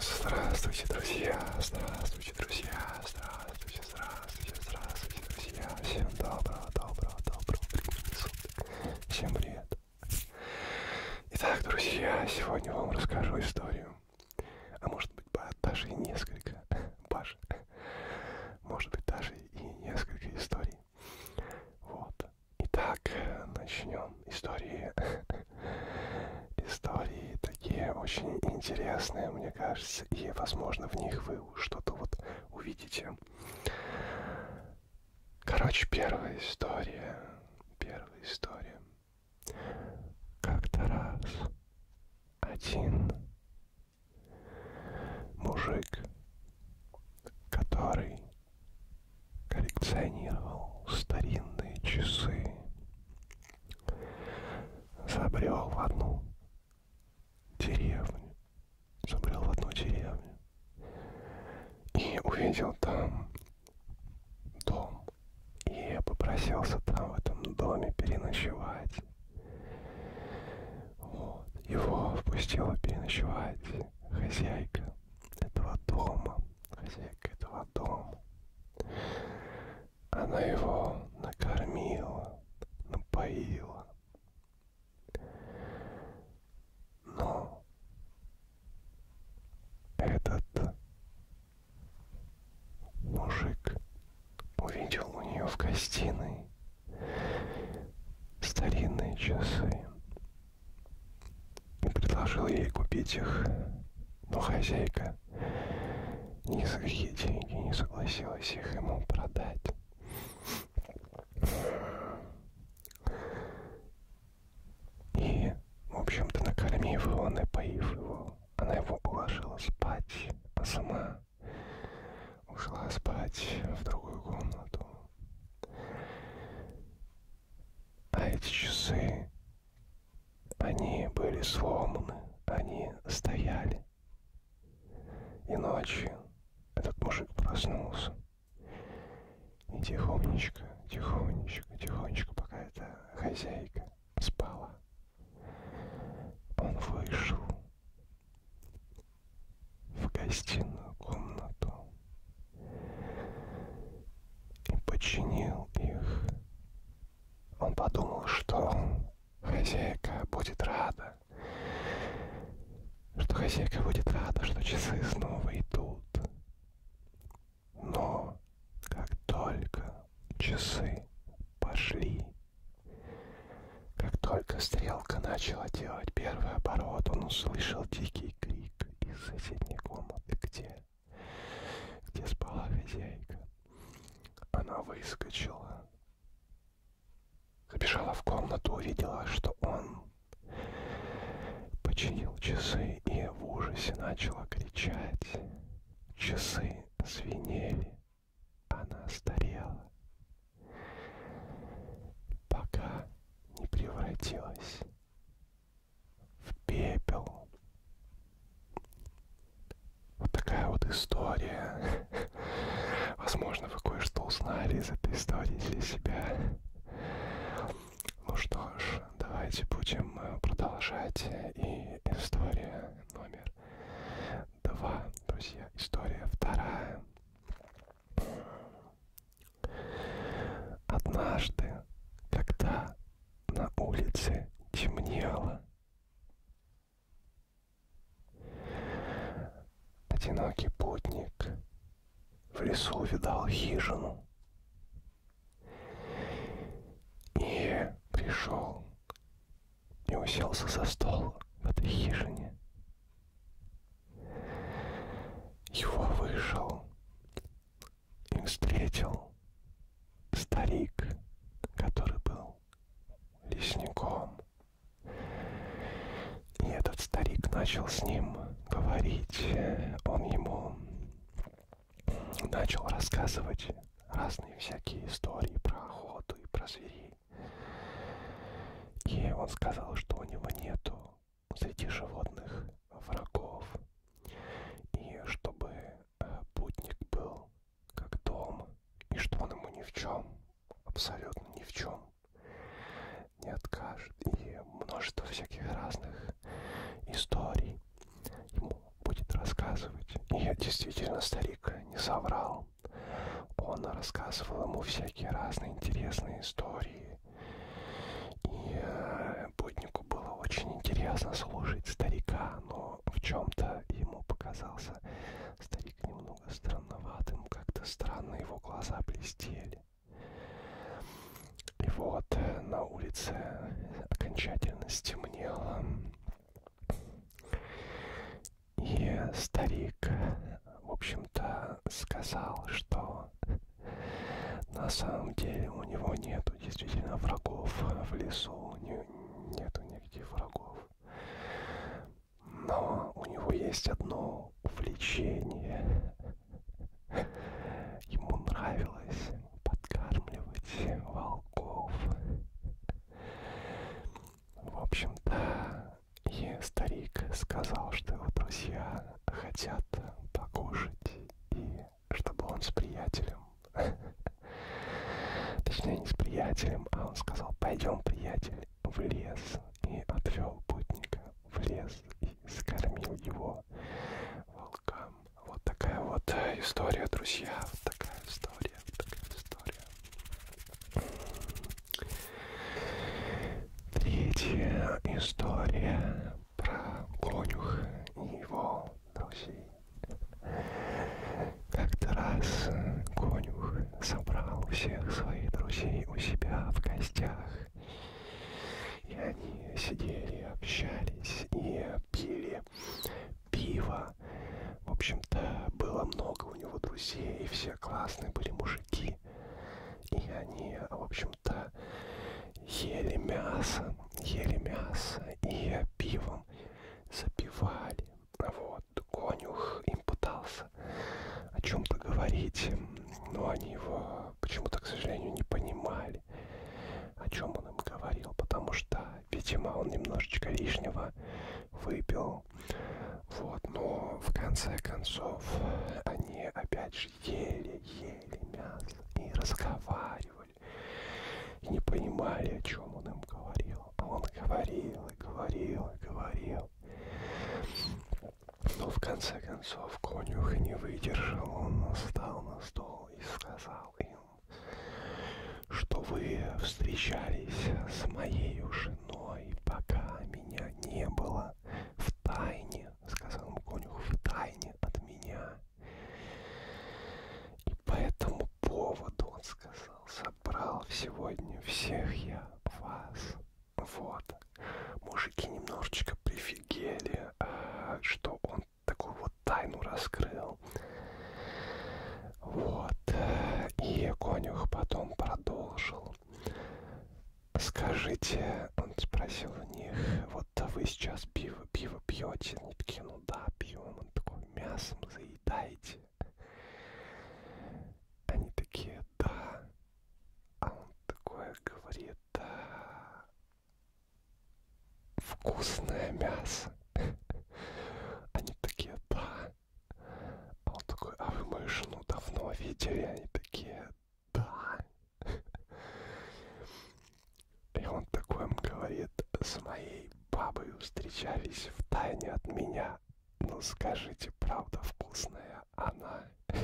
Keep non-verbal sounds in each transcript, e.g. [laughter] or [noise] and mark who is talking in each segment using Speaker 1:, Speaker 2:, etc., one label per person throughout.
Speaker 1: Здравствуйте, друзья! Здравствуйте, друзья! Здравствуйте, здравствуйте, здравствуйте, друзья! Всем доброго, доброго, доброго времени суток! Всем привет! Итак, друзья, сегодня вам расскажу историю. А может быть, даже и несколько. Паш. Может быть, даже и несколько историй. Вот. Итак, начнем истории. [laughs] истории такие очень интересные, мне кажется, и, возможно, в них вы что-то вот увидите. Короче, первая история. Первая история. Как-то раз один Мужик, который коллекционировал старинные часы, забрел в одну деревню, забрел в одну деревню и увидел там дом и попросился там в этом доме переночевать. Вот. Его впустила переночевать хозяйка этого дома. Хозяйка этого дома. Она его накормила, напоила. Но этот мужик увидел у нее в гостиной старинные часы и предложил ей купить их, но хозяйка ни за какие деньги не согласилась их ему продать. И, в общем-то, накормив его, напоив его, она его уложила спать, а сама ушла спать в другую комнату. А эти часы, они были сломаны, они стояли. И ночью этот мужик проснулся. И тихонечко, тихонечко, тихонечко, пока эта хозяйка спала, он вышел в гостиную комнату и подчинил их. Он подумал, что хозяйка будет рада, что хозяйка будет рада, что часы снова идут. Но как только часы пошли как только стрелка начала делать первый оборот, он услышал дикий крик из соседней комнаты, где, где спала хозяйка. Она выскочила, забежала в комнату, увидела, что он починил часы и в ужасе начала кричать. Часы звенели. Она старела, пока не превратилась в пепел. Вот такая вот история. [laughs] Возможно, вы кое-что узнали из этой истории для себя. Ну что ж, давайте будем э, продолжать. И история номер 2, друзья. История вторая. Однажды, когда на улице темнело, одинокий путник в лесу видал хижину и пришел и уселся за стол в этой хижине. Его вышел и встретил старик, который был лесником. И этот старик начал с ним говорить. Он ему начал рассказывать разные всякие истории про охоту и про зверей. И он сказал, что у него нету среди животных врагов. И чтобы э, путник был как дом, и что он ему ни в чем, абсолютно ни в чем не откажет. И множество всяких разных историй ему будет рассказывать. И действительно старик не соврал. Он рассказывал ему всякие разные интересные истории. И э, Буднику было очень интересно слушать старика, но в чем-то ему показался старик немного странноватым, как-то странно его глаза блестели. И вот э, на улице окончательно стемнело. И старик, в общем-то, сказал, что на самом деле у него нету действительно врагов в лесу, не, нету никаких врагов. Но у него есть одно увлечение. Ему нравилось подкармливать волков. В общем-то, и старик сказал, что его друзья хотят покушать, и чтобы он с приятелем, [laughs] точнее не с приятелем, а он сказал, пойдем, приятель, в лес, и отвел путника в лес и скормил его волкам там. Вот такая вот история, друзья. Вот такая история, вот такая история. Третья история про конюха и его друзей. Как-то раз конюх собрал всех своих друзей у себя в гостях и они сидели, общались и пили пиво. В общем-то, было много у него друзей, и все классные были мужики. И они, в общем-то, ели мясо, ели мясо и пивом запивали. Вот, конюх им пытался о чем-то говорить, но они его почему-то, к сожалению, не понимали о чем он им говорил, потому что, видимо, он немножечко лишнего выпил. Вот, но в конце концов они опять же ели-ели мясо и разговаривали. И не понимали, о чем он им говорил. А он говорил и говорил и говорил. Но в конце концов конюх не выдержал, он встал на стол письмо и сказал им, что вы встречались с моей женой, пока меня не было, в тайне, сказал им конюх, в тайне от меня. И по этому поводу он сказал, собрал сегодня всех я вас. Вот, мужики немножечко прифигели, а, что он такую вот тайну раскрыл. Вот. И конюх потом продолжил. Скажите, он спросил у них, вот да вы сейчас пиво, пиво пьете? Они такие, ну да, пьем. Он такой, мясом заедаете? Они такие, да. А он такое говорит, да вкусное мясо. [laughs] Они такие, да. А он такой, а вы мою жену давно видели? Они такие, да. [laughs] И он такой им говорит, с моей бабой встречались в тайне от меня. Ну скажите, правда вкусная она? [laughs]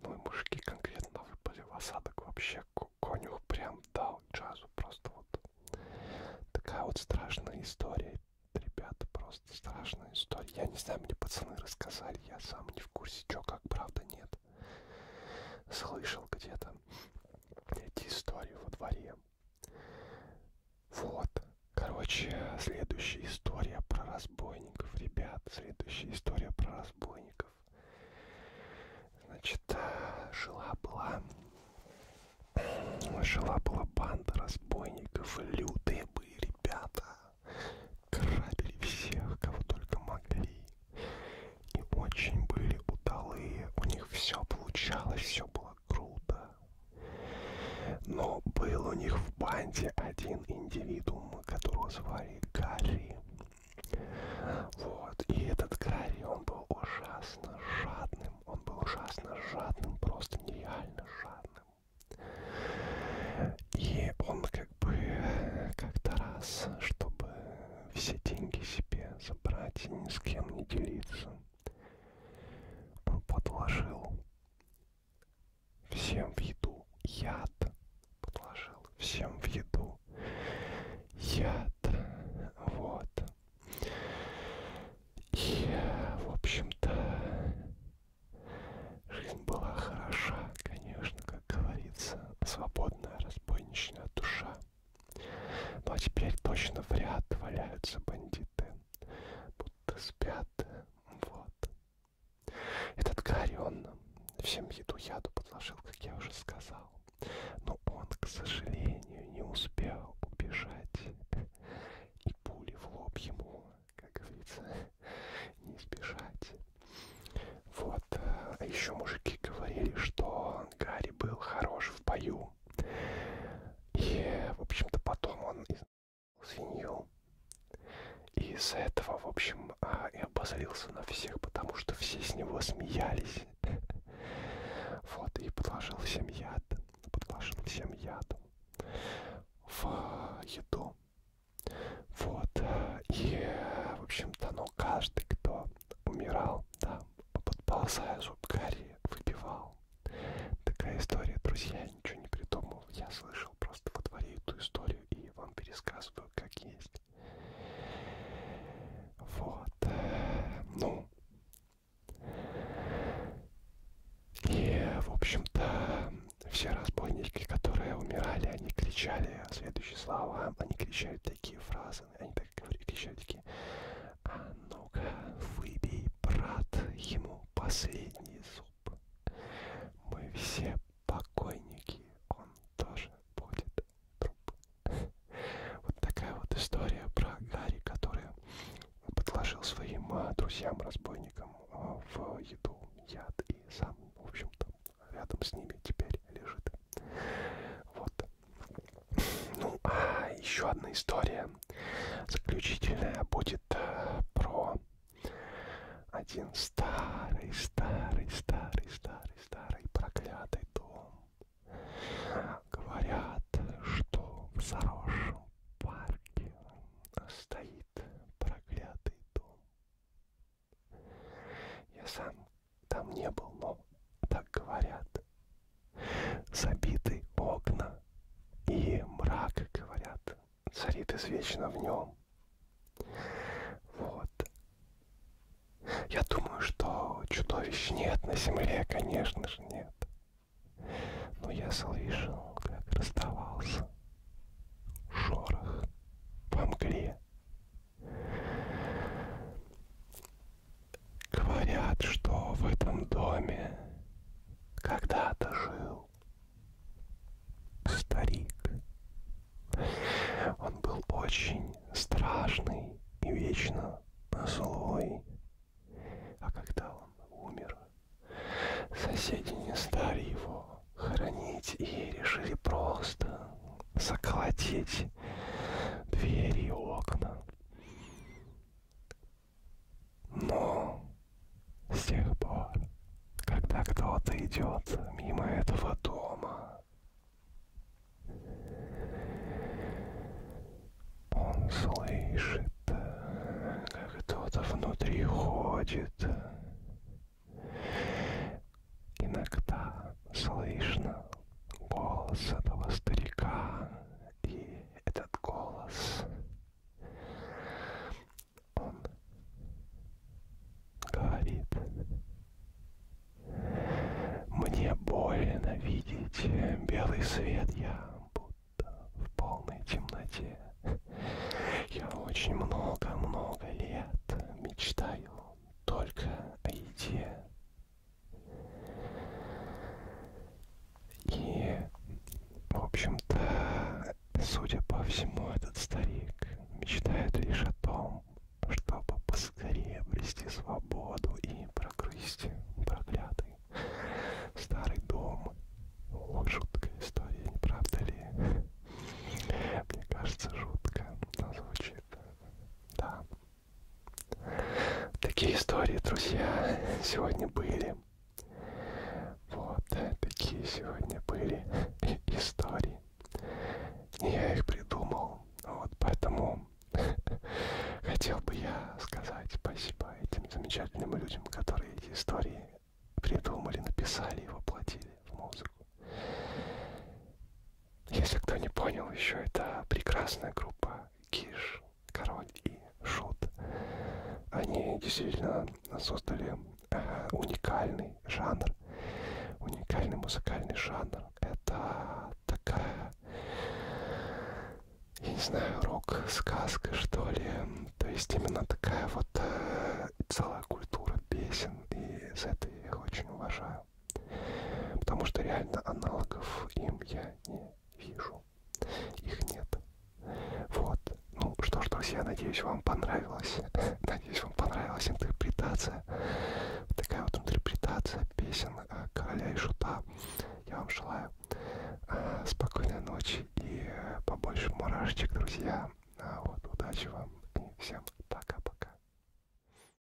Speaker 1: Ну и мужики конкретно выпали в осадок вообще. Конюх прям дал джазу просто вот. Такая вот страшная история. Ребята, просто страшная история. Я не знаю, мне пацаны рассказали, я сам не в курсе, что как, правда, нет. Слышал где-то эти истории во дворе. Вот. Короче, следующая история про разбойников. Ребят, следующая история про разбойников. Значит, жила-была... [clears throat] Жила-была банда разбойников. Лютые были ребята. Крабили всех, кого только могли. И очень были удалые. У них все получалось, все было круто. Но был у них в банде один индивидуум другом, которого звали Гарри. Вот, и этот Гарри, он был ужасно жадным, он был ужасно жадным, просто нереально жадным. И он как бы как-то раз, чтобы все деньги себе забрать и ни с кем не делиться, он подложил Всем в еду яд подложил. Всем в еду яд. Вот. И, в общем-то, жизнь была хороша, конечно, как говорится. Свободная разбойничная душа. Ну а теперь точно в ряд валяются бандиты. Будто спят. Вот. Этот Гарри, он всем еду яду подложил, как я уже сказал. Но он, к сожалению, не успел убежать. И пули в лоб ему, как говорится, не сбежать. Вот. Э, а еще мужики говорили, что Гарри был хорош в бою. И, в общем-то, потом он свинью. И из-за этого, в общем, а, и обозлился на всех, потому что все с него смеялись. [laughs] Вот, и подложил всем яд, подложил всем яд в еду. Вот, и, в общем-то, ну, каждый, кто умирал, да, подползая зуб Гарри, выпивал придумал. Такая история, друзья, я ничего не придумал. Я слышал просто во дворе эту историю и вам пересказываю, как есть. Вот. Ну. И, в общем-то, все разбойники, которые умирали, они кричали следующие слова. Они кричали такие фразы. Они так говорили, кричали такие. А ну-ка, выбей брат ему последний зуб. Мы все покойники, он тоже будет труп. Вот такая вот история про Гарри, который подложил своим а, друзьям-разбойникам а, в еду яд и сам, в общем-то, рядом с ними теперь лежит. Вот. Ну, а еще одна история Заключительная будет э, про один старый, старый, старый, старый, старый проклятый дом. Говорят, что в заросшем парке стоит проклятый дом. Я сам там не был, но так говорят. Забиты окна и мрак, говорят, царит извечно в нем. Вот. Я думаю, что чудовищ нет на земле, конечно же, нет. Но я слышал, как расставался шорох по мгле. Говорят, что в этом доме когда-то жил старик. Он был очень страшный и вечно злой. А когда он умер, соседи не стали его хоронить и решили просто заколотить двери и окна. Но с тех пор, когда кто-то идет мимо этого дома, он слышит, как кто-то внутри ходит. Иногда слышно голос этого старика и этот голос, он говорит, мне больно видеть белый свет, я будто в полной темноте. Я очень много-много лет мечтаю только о еде. И, в общем-то, судя по всему, этот старик мечтает лишь о том, чтобы поскорее обрести свободу и прогрызть проклятый старый дом. Вот жуткая история, не правда ли? Мне кажется, жутко звучит. Да. Такие истории, друзья, сегодня были. Вот, такие сегодня были [laughs] истории. Не я их придумал, вот поэтому [laughs] хотел бы я сказать спасибо этим замечательным людям, которые эти истории придумали, написали и воплотили в музыку. Если кто не понял еще, это прекрасная группа Киш, Король и Шут. Они действительно создали э, уникальный жанр, уникальный музыкальный жанр. Это такая, я не знаю, рок-сказка, что ли. То есть именно такая вот э, целая культура песен, и за это я их очень уважаю себя. Потому что реально аналогов им я не вижу. Их нет. Вот. Ну что ж, друзья, надеюсь, вам понравилось. [laughs] Надеюсь, вам понравилась интерпретация. Такая вот интерпретация песен а, короля и шута. Я вам желаю а, спокойной ночи и э, побольше мурашечек, друзья. А вот, удачи вам и всем пока-пока.